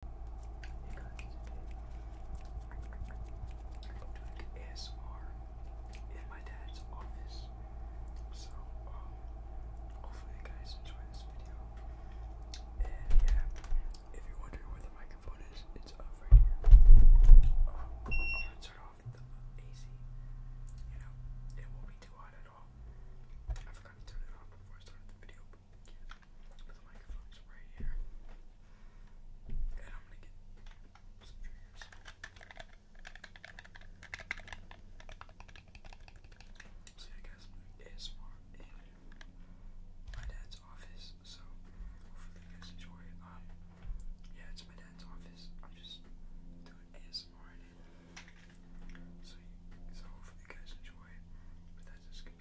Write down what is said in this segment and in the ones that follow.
doing ASMR in my dad's office. So, um, hopefully you guys enjoy this video. And yeah, if you're wondering where the microphone is, it's up here. Oh, turn off the AC. You know, it won't be too hot at all. I forgot to turn it off before I started the video, but I'm gonna get some triggers. So yeah guys, ASMR in my dad's office, so hopefully you guys enjoy Um, yeah, it's my dad's office. I'm just doing ASMR in it. So, so hopefully you guys enjoy But that's just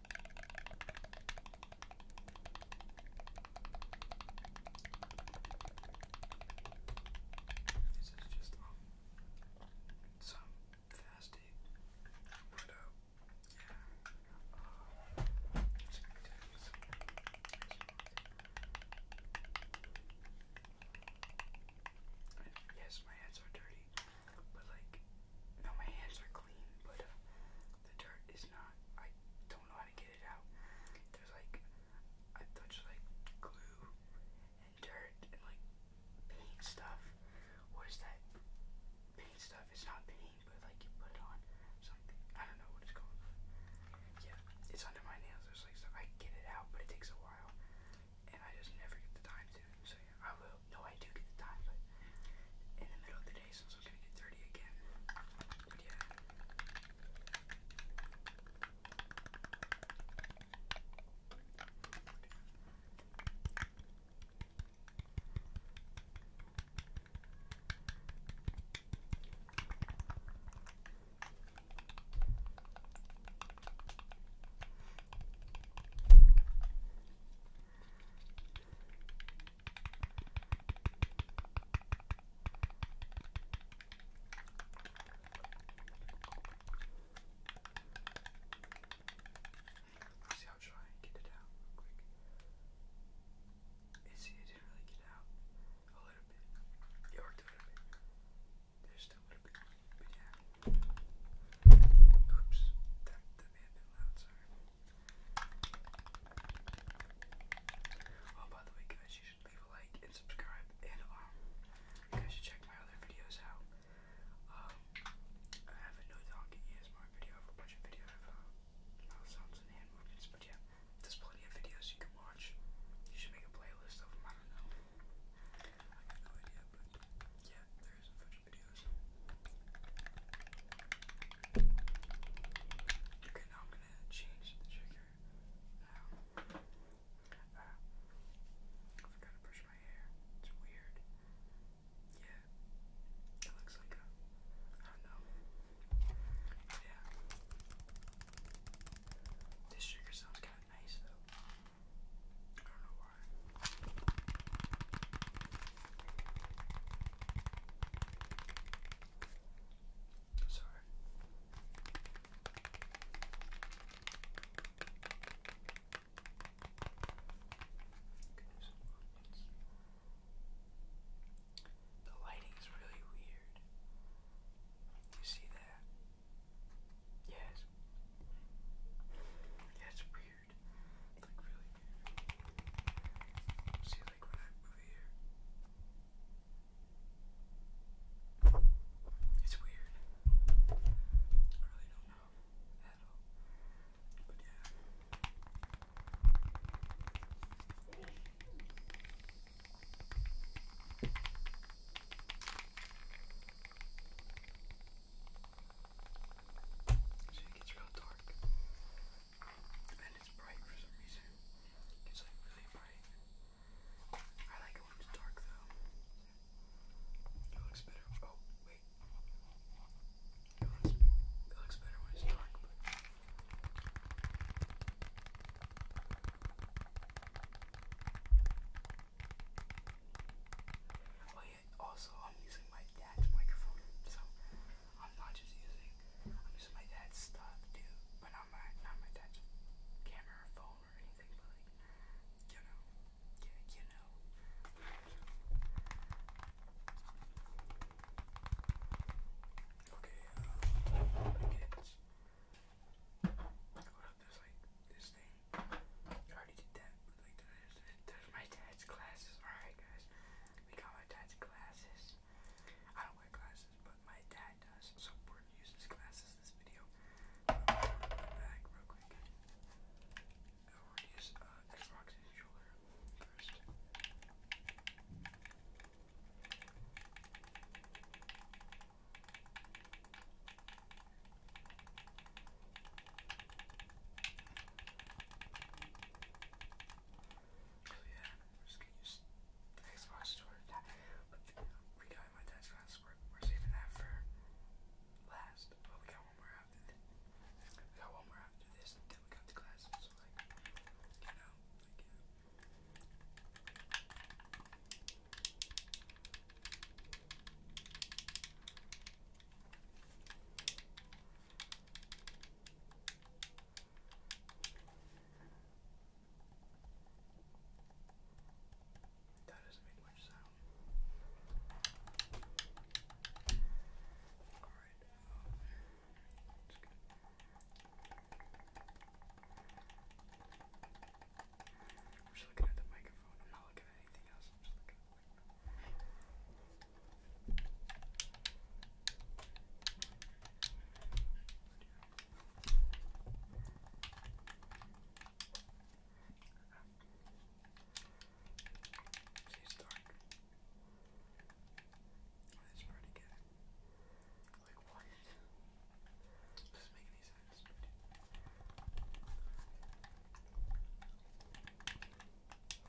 This is just um, some fasting, but uh, yeah, uh, Yes, my hands are dirty, but like, no, my hands are clean, but uh, the dirt is not. I don't know how to get it out. There's like I touched like glue and dirt and like paint stuff. What is that? Paint stuff. It's not paint, but like you put it on something. I don't know what it's called. Yeah, it's under my nails. There's like stuff. I get it out, but it takes a while, and I just never get the time to. So yeah, I will no, I do get the in the middle of the day, since I'm gonna get dirty again. But yeah. See, I'll try and get it out real quick. And see, it didn't really get out a little bit. It worked a little bit. There's still a little bit, but yeah. Oops, that, that may have been loud, sorry. Oh, by the way, guys, you should leave a like and subscribe, and um, you guys should check my other videos out. Um, I have a no dog ESMR video, I a bunch of videos uh, of sounds and hand movements, but yeah, there's plenty of videos you can watch. You should make a playlist of them, I don't know. I have no idea, but yeah, there is a Okay, now I'm gonna change the trigger. I forgot to brush my hair. It's weird. Yeah, it looks like a. I don't know. Yeah. This trigger sounds kind of nice though. I don't know why. Sorry. The lighting is really weird. You see that? Yes. That's weird weird. Like, really weird. See, like, when I move here, it's weird. I really don't know at all. But yeah. I so it gets real dark. And it's bright for some reason. It's like really bright. I like it when it's dark though. It looks better. Oh, wait. It looks, better when it's dark, also I'm using my dad's microphone, so I'm not just using I'm using my dad's stuff too, but not my not my dad's camera or phone or anything, but like you know, you know. Okay, uh, What up? There's like this thing. I already did that, those are my dad's glasses. Alright, guys. We got my dad's glasses. I don't wear glasses, but my dad does. So we're going to use his glasses this video. Um, real quick. we're going to use uh, Xbox first. So yeah, just gonna use Xbox store to we got my dad's class, we we're saving that for last, but we got one more after this. got one more after this, and we got the class, so like, you know, like, yeah. Alright, that doesn't make much sound. All right. Um, that's good. I'm just looking at the microphone. I'm not looking at anything else. I'm just looking at Tastes dark. It's pretty good. Like what? Does make any sense? But...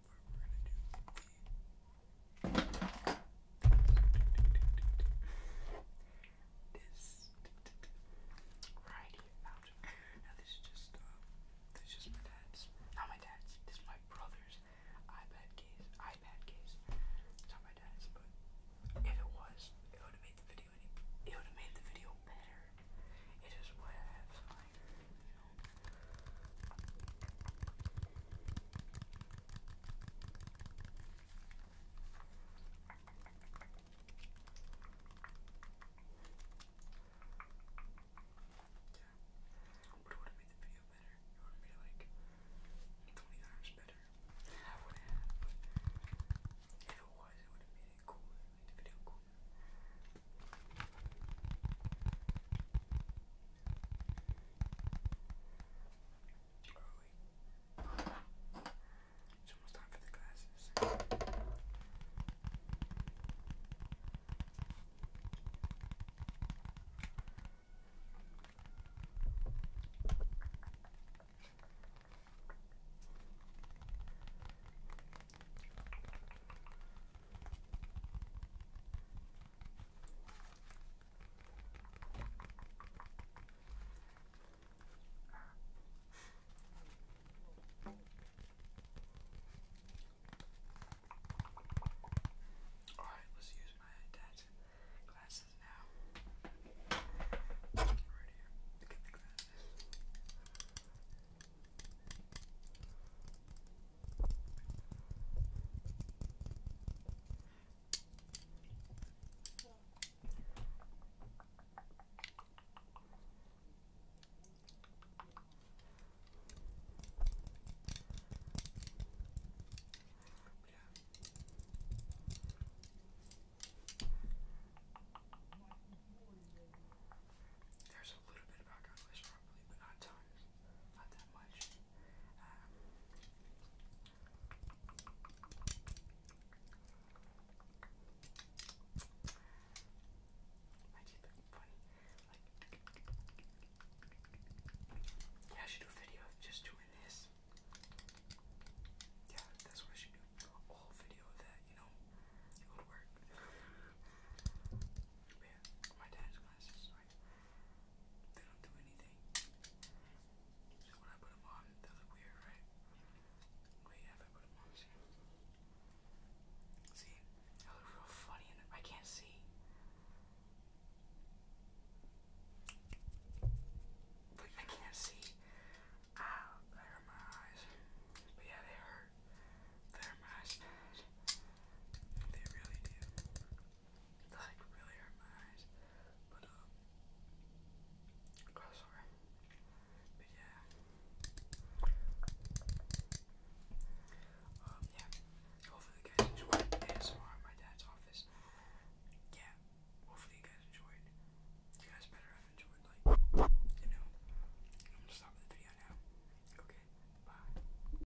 we this right here. Now, this is just this is just my dad's. Not my dad's. This is my brother's iPad case. iPad case. It's not my dad's, but if it was, it would have made the video. It would have made the video better. It is what I have. So but it would have made the video better. It would have made it like 20 times better. I would have, if it it would have made it cooler, made the video cooler. It's almost time for the glasses. Alright, let's use my dad's glasses now. Right here. Look at the glasses. There's a little bit of background noise probably, but not tons not um, yeah, I should do a video of just doing this. Yeah, that's what I should do. A whole video of that, you know? my dad's glasses, they don't do anything. So when I put them on, they look weird, right? Wait, have I put them on? See? See? They look real funny I can't see. But I can't see. Ah, they hurt my eyes. But yeah, they hurt. They hurt my eyes. They really do. That like really hurt my eyes. But um oh sorry. But yeah. Um yeah. Hopefully you guys enjoyed ASMR at my dad's office. Yeah. Hopefully you guys enjoyed. You guys better have enjoyed like you know. I'm gonna stop the video now. Okay, bye.